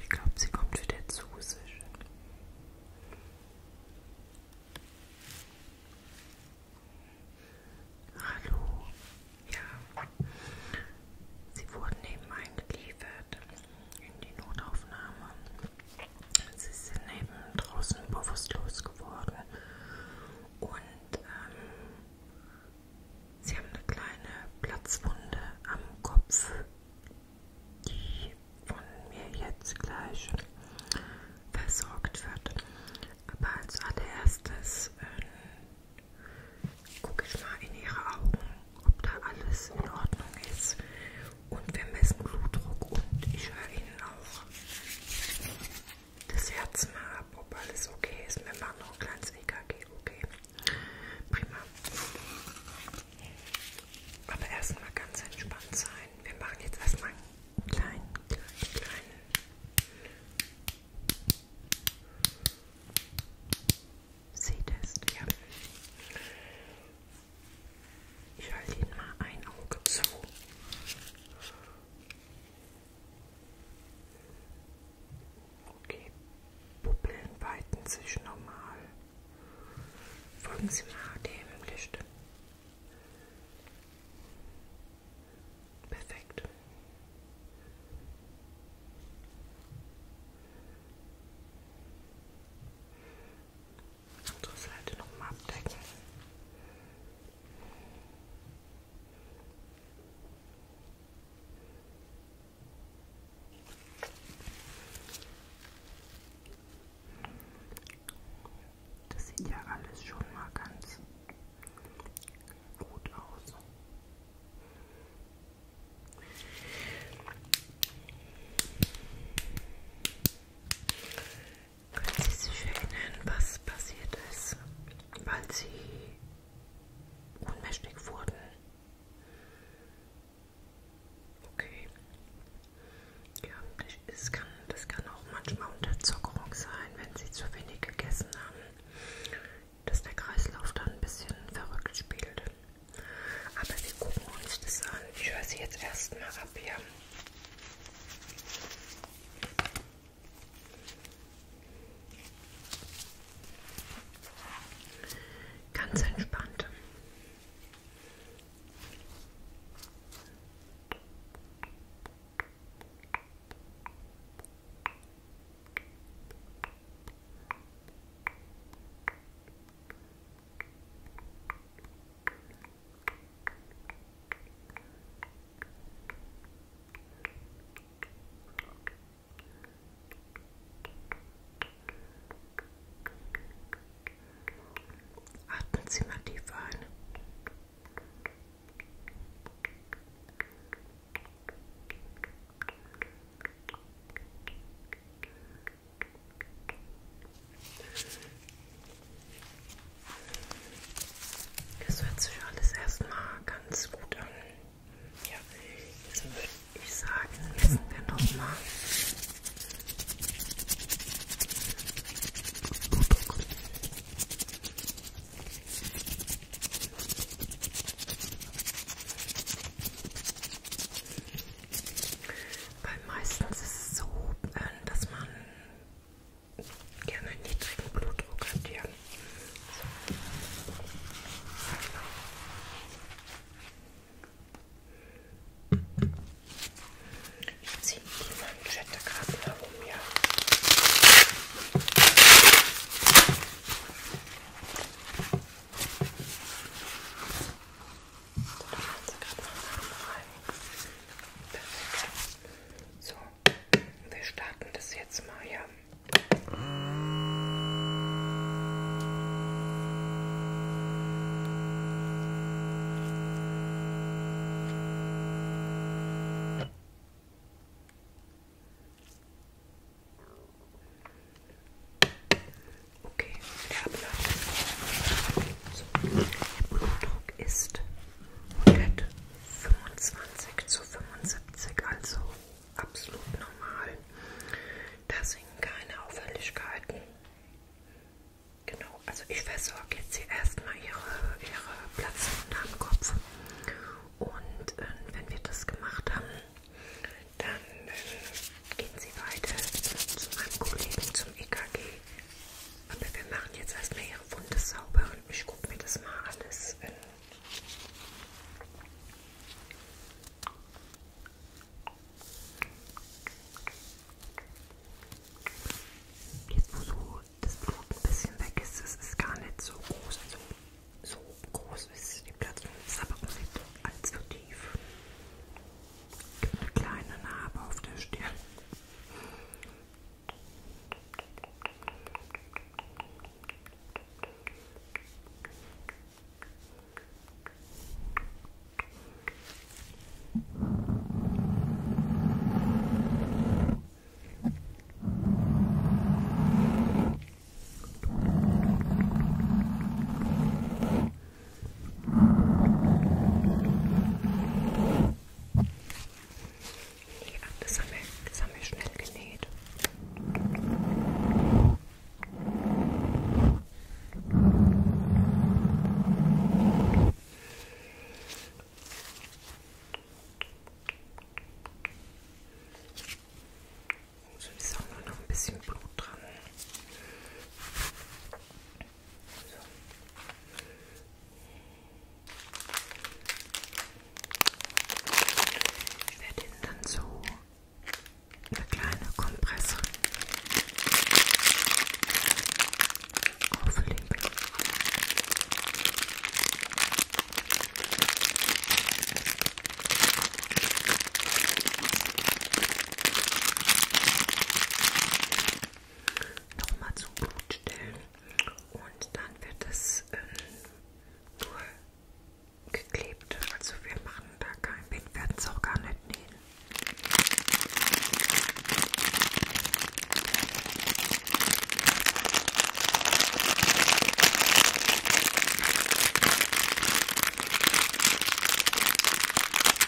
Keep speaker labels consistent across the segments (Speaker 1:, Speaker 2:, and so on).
Speaker 1: Ich glaube, sie kommt wieder zu sich. Hallo. Ja. Sie wurden eben eingeliefert in die Notaufnahme. Sie sind eben draußen bewusstlos geworden. Und ähm, Sie haben eine kleine Platzwunde am Kopf, die von mir jetzt gleich versorgt wird. Aber als allererstes äh, gucke ich mal in Ihre Augen, ob da alles in Ordnung ist. Und wir messen Blutdruck und ich höre Ihnen auch das Herz mal ab, ob alles okay ist. Wir machen noch ein kleines EKG, okay? Prima. Aber erstmal ganz entspannt sein. Wir machen jetzt erstmal einen kleinen, kleinen, kleinen. Sehtest, ja. Ich halte ihn mal ein Auge zu. Okay, Bubbeln weiten sich normal. Folgen Sie mal dem Licht. Perfekt. Andere Seite nochmal abdecken. Das sieht ja alles schon mal ganz gut aus. Können Sie sich erinnern, was passiert ist, weil Sie ohnmächtig wurden? Okay. Ja, das kann, das kann auch manchmal Unterzuckerung sein, wenn Sie zu wenig gegessen haben, dass der Kreislauf dann ein bisschen verrückt spielt. Aber wir gucken uns das an. Ich höre Sie jetzt erstmal ab, ja. Ganz entspannt. Atmen Sie mal tief ein. Das hört sich alles erstmal ganz gut an. Ja, jetzt würde ich sagen, messen wir nochmal. Weil meistens ist es so, äh, dass man gerne einen niedrigen Blutdruck hat. Ja. So. Ich ziehe die Manschette gerade herum, ja. Da kannst du gerade mal rein. Perfekt. So, wir starten das jetzt mal ja. Okay, der Ablauf. So, Blutdruck ist 125 zu 75, also absolut normal. Da sind keine Auffälligkeiten. Genau, also ich versorge jetzt hier erstmal ihre, ihre Platz unterm Kopf. Und äh, wenn wir das gemacht haben, dann äh, gehen Sie weiter zu meinem Kollegen zum EKG. Aber wir machen jetzt erstmal ihre Wunde sauber und ich gucke mir das mal alles an. Äh, jetzt, wo so das Blut ein bisschen weg ist, es ist gar nicht so groß. Also, so groß ist die Platzung, ist aber auch nicht allzu tief eine kleine Narbe auf der Stirn. Hm. Das haben, wir, das haben wir schnell genäht. So ist auch nur noch ein bisschen Blut dran. Ich werde Ihnen dann so eine kleine Kompresse auflegen nochmal zum Blut stellen und dann wird es ähm, durchgeklebt. Also wir machen da keinen Wind, werden es auch gar nicht nähen.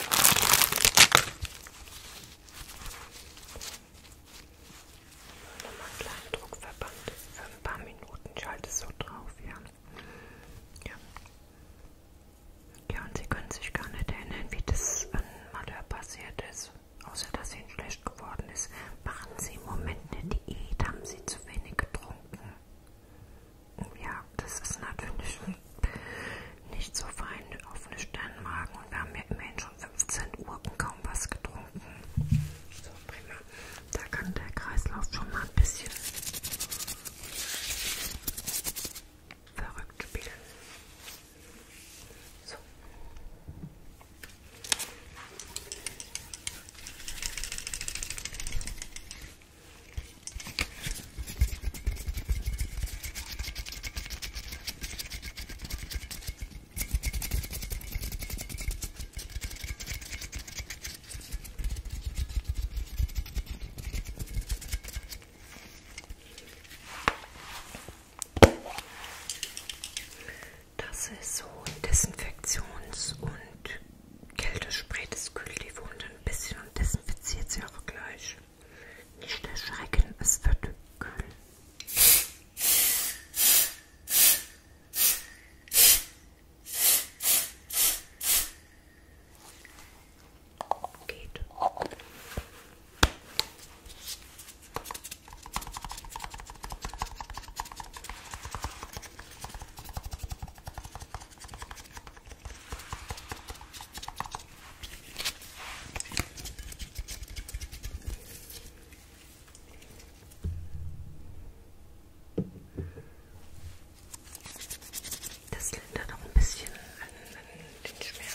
Speaker 1: Nochmal einen kleinen Druckverband für ein paar Minuten. Ich halte es so drauf, ja. Ja. Ja, und sie können sich gar nicht erinnern, wie das an Malheur passiert ist. Außer, dass ihnen schlecht geworden ist. Machen sie im Moment eine Diät, haben sie zu wenig getrunken. Ja, das ist natürlich nicht so fein auf einen Sternmagen und wir haben ja immerhin schon 15 Uhr und kaum was getrunken. So, prima. Da kann der Kreislauf schon mal ein bisschen verrückt spielen. So. Das ist so ein Desinfektions- und Kältespray, das kühlt die Wunde ein bisschen und desinfiziert sie auch gleich. Nicht erschrecken, es wird kühl. Geht. Das lindert auch ein bisschen an, an den Schmerz.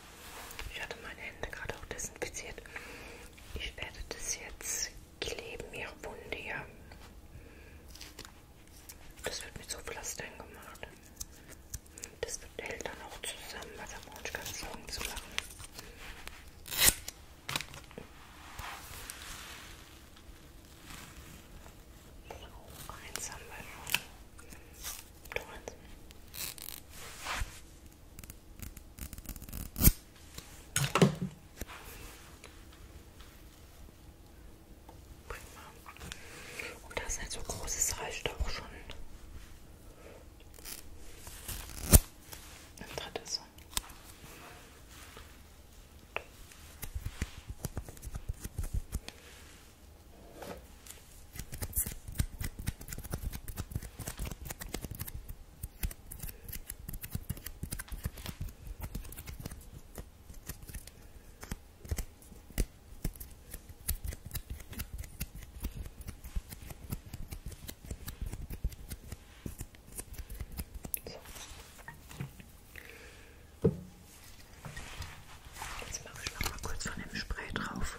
Speaker 1: Ich hatte meine Hände gerade auch desinfiziert. Ich werde das jetzt kleben, ihre Wunde hier. Das wird mit so Pflastern gemacht. Das hält dann auch zusammen, weil da brauche ich keine Sorgen zu machen. So, eins haben wir schon. Doransen. Prima. Und das ist ein so großes reicht auch schon. Ein drittes. So. Jetzt mache ich noch mal kurz von dem Spray drauf.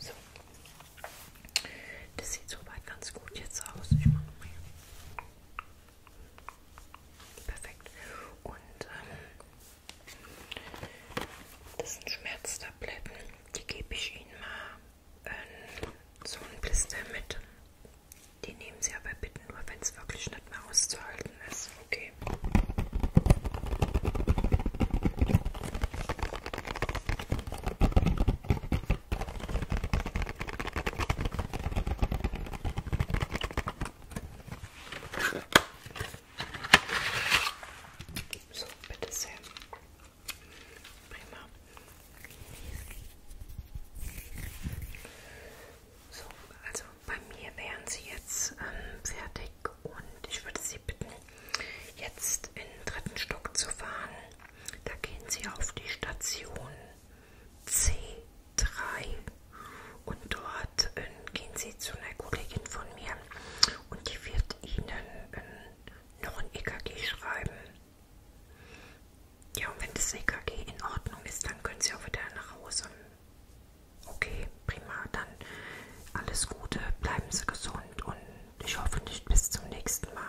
Speaker 1: So. Das sieht soweit ganz gut jetzt aus. Ich mache mal. Perfekt. Und ähm, das sind Schmerztabletten. Die gebe ich Ihnen mal ähm, so ein Blister mit. Die nehmen Sie aber bitte nur, wenn es wirklich nicht mehr auszuhalten ist. Okay. So, bitte sehr. Prima. So, also bei mir wären sie jetzt ähm, fertig und ich würde Sie bitten, jetzt in den dritten Stock zu fahren. Da gehen Sie auf die Station C3 und dort äh, gehen Sie zu einer Kollegin von mir und die wird Ihnen äh, noch ein EKG schreiben. Ja, und wenn das EKG in Ordnung ist, dann können Sie auch wieder nach Hause. Okay, prima, dann alles Gute, bleiben Sie gesund und ich hoffe nicht bis zum nächsten Mal.